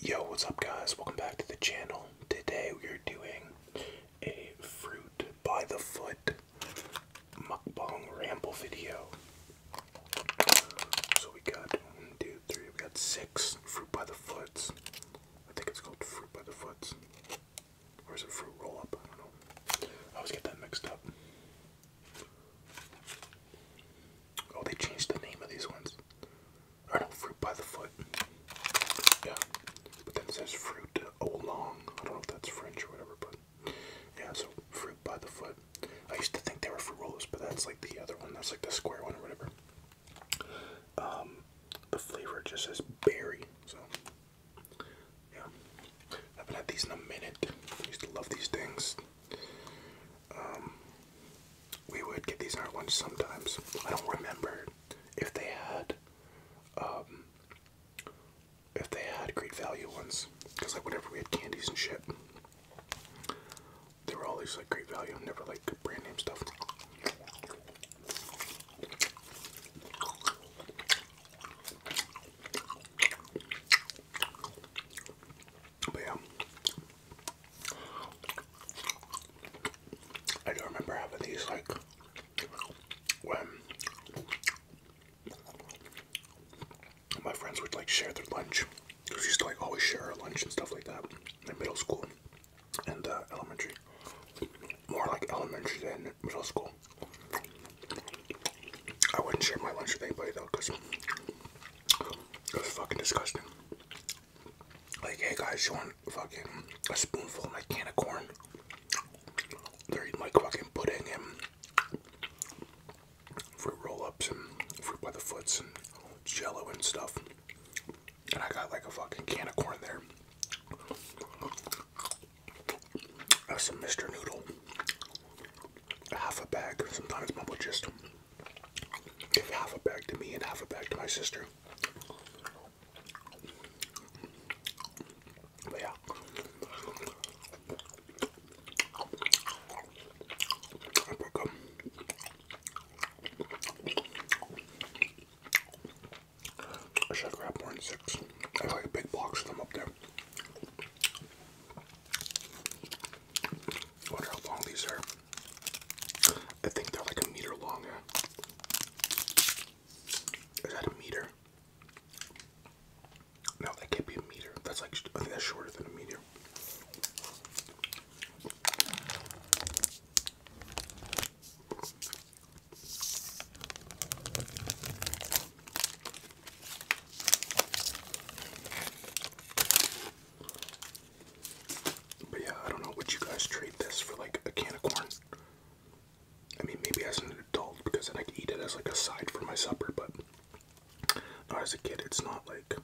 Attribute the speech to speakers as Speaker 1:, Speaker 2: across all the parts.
Speaker 1: Yo, what's up guys? Welcome back to the channel. Today we are doing a fruit by the foot mukbang ramble video. So we got one, two, three, we got six fruit by the foots. I think it's called fruit by the foots. Or is it fruit roll up? I don't know. I always get that mixed up. Oh, they changed the name of these ones foot. Or no, fruit by the foot. Yeah. But then it says fruit along. I don't know if that's French or whatever, but yeah, so fruit by the foot. I used to think they were fruit rollers, but that's like the other one. That's like the square one or whatever. Um, the flavor just says berry. So yeah, I haven't had these in a minute. I used to love these things. Um, we would get these in our lunch sometimes. I don't remember if they had um, if they had great value ones, because like whenever we had candies and shit, they were all these like great value, never like brand name stuff. But yeah. I do not remember having these like when my friends would like share their lunch. Because we used to like always share our lunch and stuff like that in middle school and uh, elementary. More like elementary than middle school. I wouldn't share my lunch with anybody though because it was fucking disgusting. Like, hey guys, you want fucking a spoonful of my can of corn? They're eating like fucking pudding and fruit roll ups and fruit by the foots and jello and stuff. And I got like a fucking can of corn there. That's some Mr. Noodle half a bag. Sometimes mom would just give half a bag to me and half a bag to my sister. But yeah. I should grab more than six. I have like a big box of them up there. I wonder how long these are. I think they're like a meter long. Is that a meter? No, that can't be a meter. That's like, I think that's shorter than a meter. But yeah, I don't know. Would you guys trade this for like a can of corn? I mean, maybe as an adult because then I could eat it as like a side for my supper, but no, as a kid, it's not like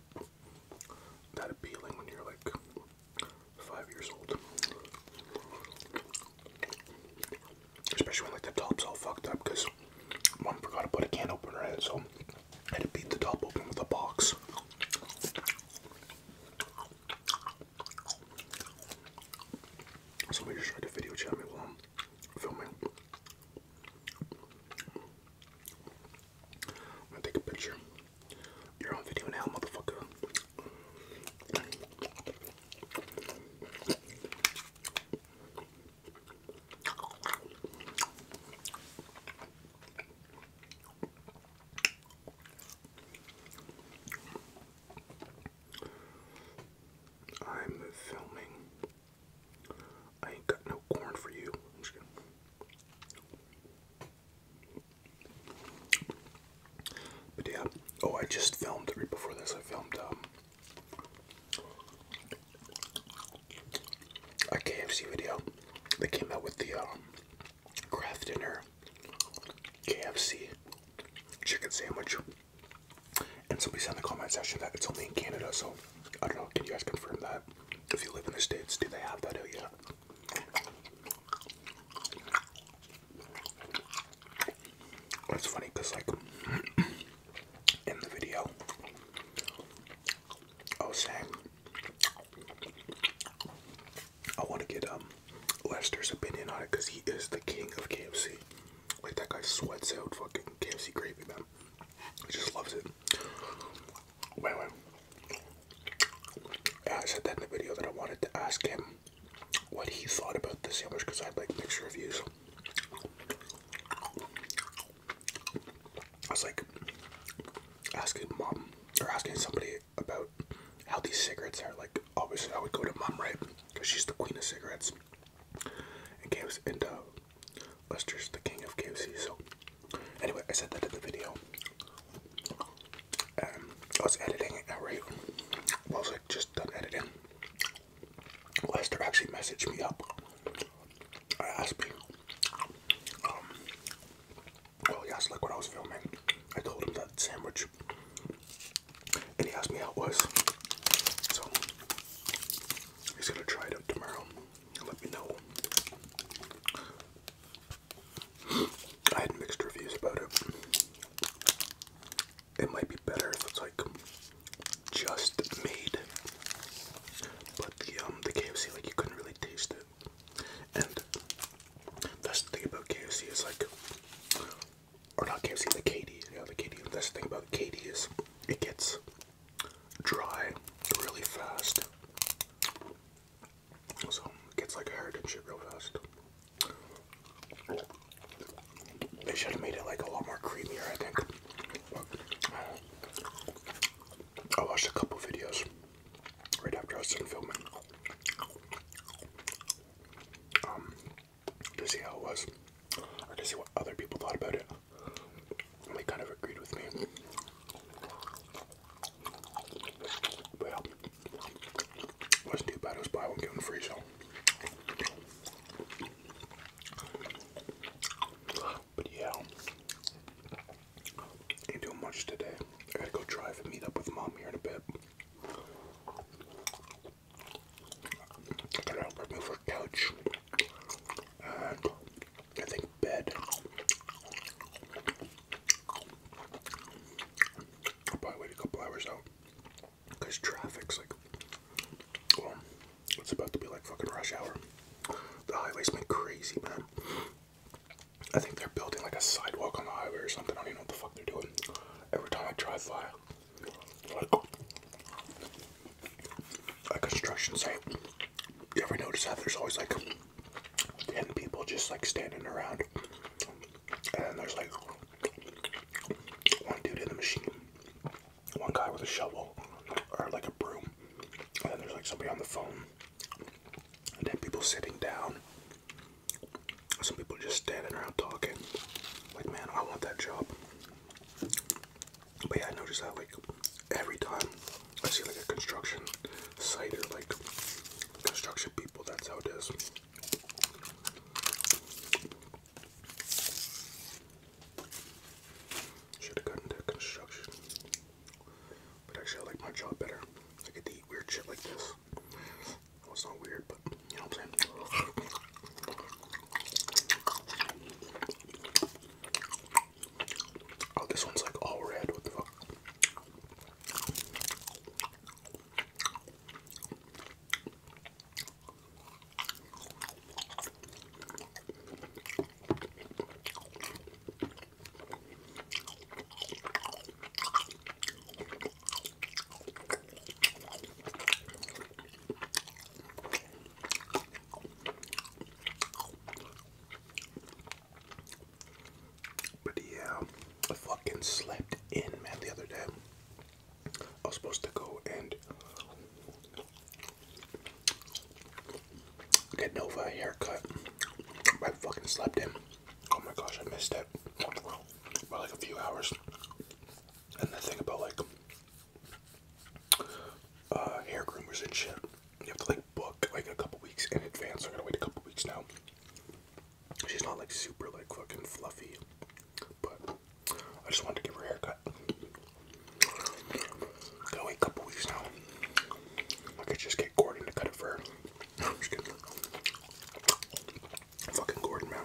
Speaker 1: that appealing when you're like five years old. Especially when like the top's all fucked up because mom forgot to put a can opener in it, so I had to beat the top open with a box. Somebody just tried to video chat me while filming. i take a picture. You're on video now, motherfucker. I'm filming. I ain't got no corn for you. But yeah, oh, I just filmed right before this. I filmed um, a KFC video that came out with the um, craft dinner KFC chicken sandwich. And somebody said in the comment section that it's only in Canada, so I don't know. Can you guys confirm that? If you live in the States, do they have that Oh yeah. That's funny because, like, in the video. I was saying I want to get um Lester's opinion on it because he is the king of KFC. Like that guy sweats out fucking KFC gravy, man. He just loves it. Wait, wait. Yeah, I said that in the video that I wanted to ask him what he thought about the sandwich because I had like mixed reviews. I was like asking mom or asking somebody about how these cigarettes are. Like, obviously, I would go to mom, right? Because she's the queen of cigarettes. And KFC, and uh, Lester's the king of KFC. So, anyway, I said that in the video. Um, I was editing it, right? Well, I was like just done editing. Lester actually messaged me up. I asked me, um, well, he asked what I was filming. I told him that sandwich, and he asked me how it was. So he's gonna try it tomorrow. Let me know. I had mixed reviews about it. It might be better it's like just made, but the um the KFC like you couldn't really taste it, and that's the thing about KFC is like, or not KFC the KD yeah the KD that's the thing about the KD is it gets dry really fast, so it gets like hard and shit real fast. They should have made it like a lot more creamier, I think. I watched a couple videos right after I was done filming um, to see how it was, or to see what other people thought about it. they kind of agreed with me. But wasn't too bad. It was buy one, get one free, so but yeah, ain't doing much today. I gotta go drive and meet up with mom here in a bit. gotta remove her couch and I think bed. probably wait a couple hours out. Because traffic's like, it's about to be like fucking rush hour. The highway's been crazy, man. I think they're building like a sidewalk on the highway or something. I don't even know what the fuck they're doing. Every time I drive by, like, a construction site, you ever notice that there's always like 10 people just like standing around? And there's like one dude in the machine one guy with a shovel or like a broom, and then there's like somebody on the phone, and then people sitting down. Some people just standing around talking. Like, man, I want that job. But yeah, I notice that like every time I see like a construction site or like construction people, that's how it is. Should have gotten into construction. But actually, I like my job better. I get to eat weird shit like this. Well, it's not weird, but you know what I'm saying? Oh, this one's like all red. What the fuck? But yeah, I fucking slept in, man, the other day. I was supposed to go and get Nova a haircut. I fucking slept in. Oh my gosh, I missed it by like a few hours. And the thing about like uh, hair groomers and shit, you have to like book like a couple weeks in advance. I'm gonna wait a couple weeks now. She's not like super like fucking fluffy but I just wanted to give her a haircut. Gotta a couple weeks now. I could just get Gordon to cut it for her. Fucking Gordon, man.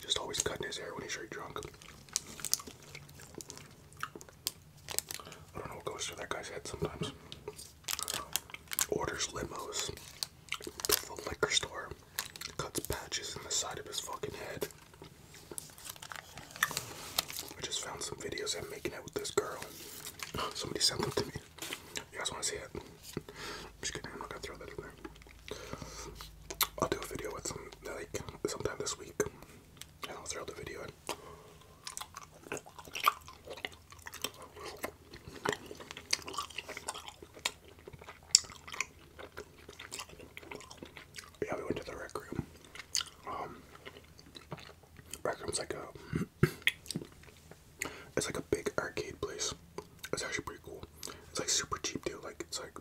Speaker 1: Just always cutting his hair when he's straight drunk. I don't know what goes through that guy's head sometimes. Orders limos to the liquor store cuts patches in the side of his fucking head. I just found some videos I'm making out with this girl. Somebody sent them to me. You guys want to see it? i just kidding. I'm not gonna throw that in there. I'll do a video with some like sometime this week, and I'll throw the video in. Yeah, we went to the rec room. Um, rec room's like a, it's like a big arcade place. It's actually pretty cool. It's like super cheap too. Like it's like,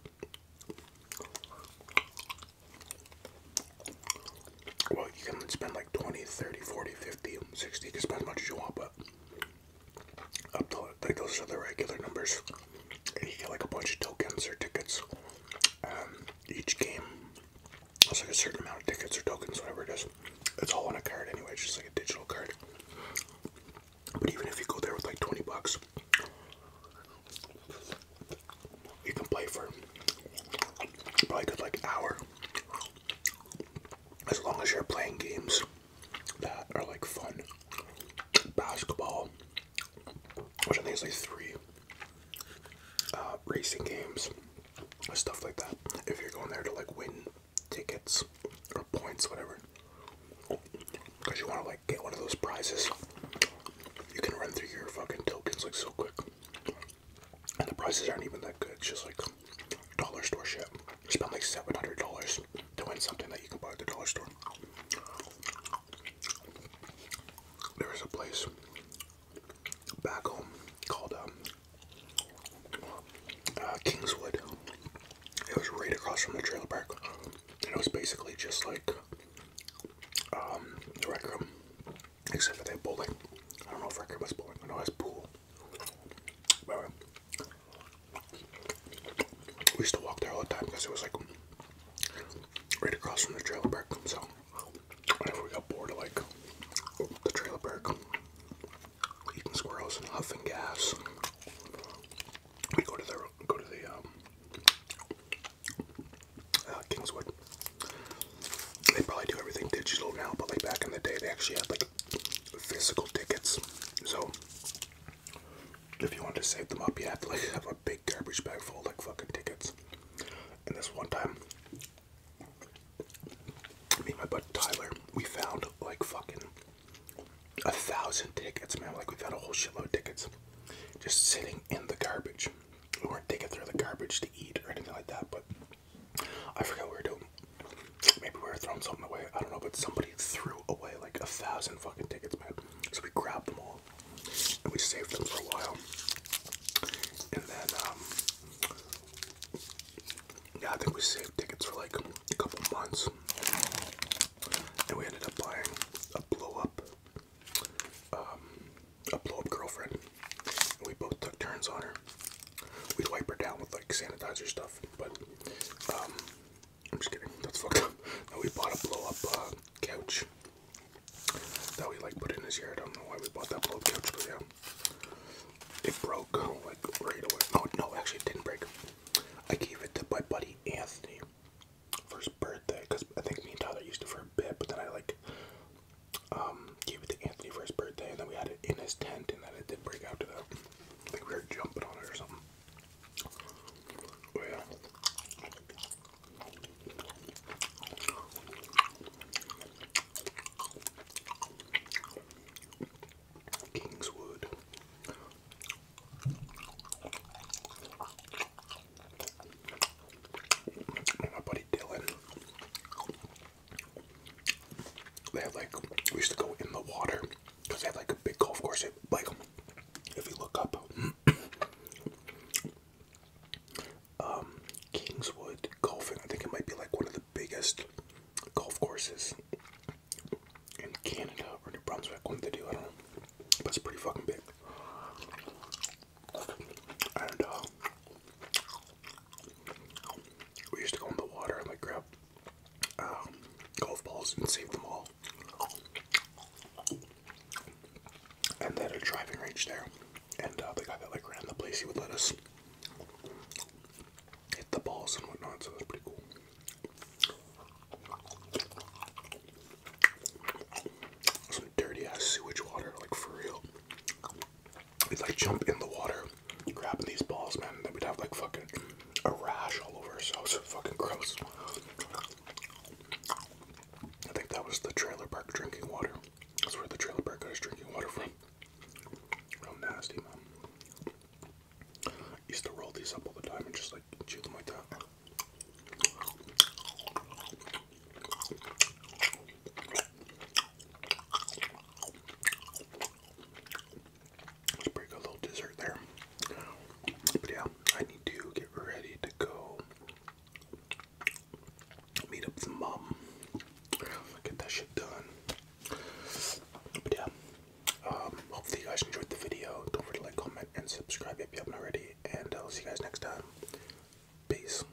Speaker 1: well, you can spend like 20, 30, 40, 50, 60. You can spend as much as you want, but up to like those are the regular numbers. And you get like a bunch of tokens or tickets. Um, each game it's like a certain amount of tickets or tokens, whatever it is. It's all on a card anyway, it's just like a digital card. But even if you go there with like 20 bucks, you can play for probably a good like hour as long as you're playing games that are like fun. Basketball, which I think is like three. Uh, racing games, or stuff like that. If you're going there to like win tickets or points, whatever, because you want to like get one of those prizes, you can run through your fucking tokens like so quick. And the prizes aren't even that good, it's just like dollar store shit. spend like seven hundred dollars to win something that you can buy at the dollar store. There was a place back home called um, uh, Kingswood. It was right across from the trailer park, and it was basically just like um, the except for they had bowling. I don't know if rec room was bowling. I know it was pool. We used to walk there all the time because it was like right across from the trailer park. So whenever we got bored of like the trailer park, eating squirrels and huffing gas, we go to the go to the um, uh, Kingswood. They probably do everything digital now, but like back in the day, they actually had like physical tickets. So if you want to save them up, you have to like have a big garbage bag full of like fucking tickets. And this one time, me and my buddy Tyler, we found like fucking a thousand tickets, man. Like we got a whole shitload of tickets just sitting in the garbage. We weren't digging through the garbage to eat or anything like that, but I forgot we were doing. Maybe we were throwing something away. I don't know, but somebody threw away like a thousand fucking tickets, man. So we grabbed them all and we saved them for a while. And then, um, yeah, I think we saved tickets for like a couple months. And we ended up buying a blow up, um, a blow up girlfriend. And we both took turns on her we wipe her down with like sanitizer stuff, but um, I'm just kidding. That's fucked up. No, we bought a blow up uh, couch that we like put in his yard. I don't know why we bought that blow up couch, but yeah, it broke like right away. No, no, actually, didn't break. I gave it to my buddy Anthony first birthday because I think me and Tyler used it for a bit, but then I like um, gave it to Anthony for his birthday, and then we had it in his tent, and then it I think we were jumping on it or something. Oh, Kingswood. my buddy Dylan they had like we used to go in the water because they had like a big golf course. like if you look up, um, Kingswood golfing. I think it might be like one of the biggest golf courses in Canada or New Brunswick. One they do, I don't know, but it's pretty fucking big. And uh, we used to go in the water and like grab um, golf balls and save them all. And they had a driving range there. And uh, the guy that like ran the place, he would let us hit the balls and whatnot, so that's pretty cool. Some dirty ass sewage water, like for real. We'd like jump in the water, grabbing these balls, man. And then we'd have like fucking a rash all over ourselves. So fucking gross. I think that was the trailer park drinking water. That's where the trailer park I was drinking water from. Real nasty, man. used to roll these up all the time and just like chew them like that. It's pretty good little dessert there. But yeah, I need to get ready to go meet up with mom. Get that shit done. But yeah, um, hopefully you guys enjoyed the video. Don't forget to like, comment, and subscribe if you haven't already. And uh, I'll see you guys next time. Peace.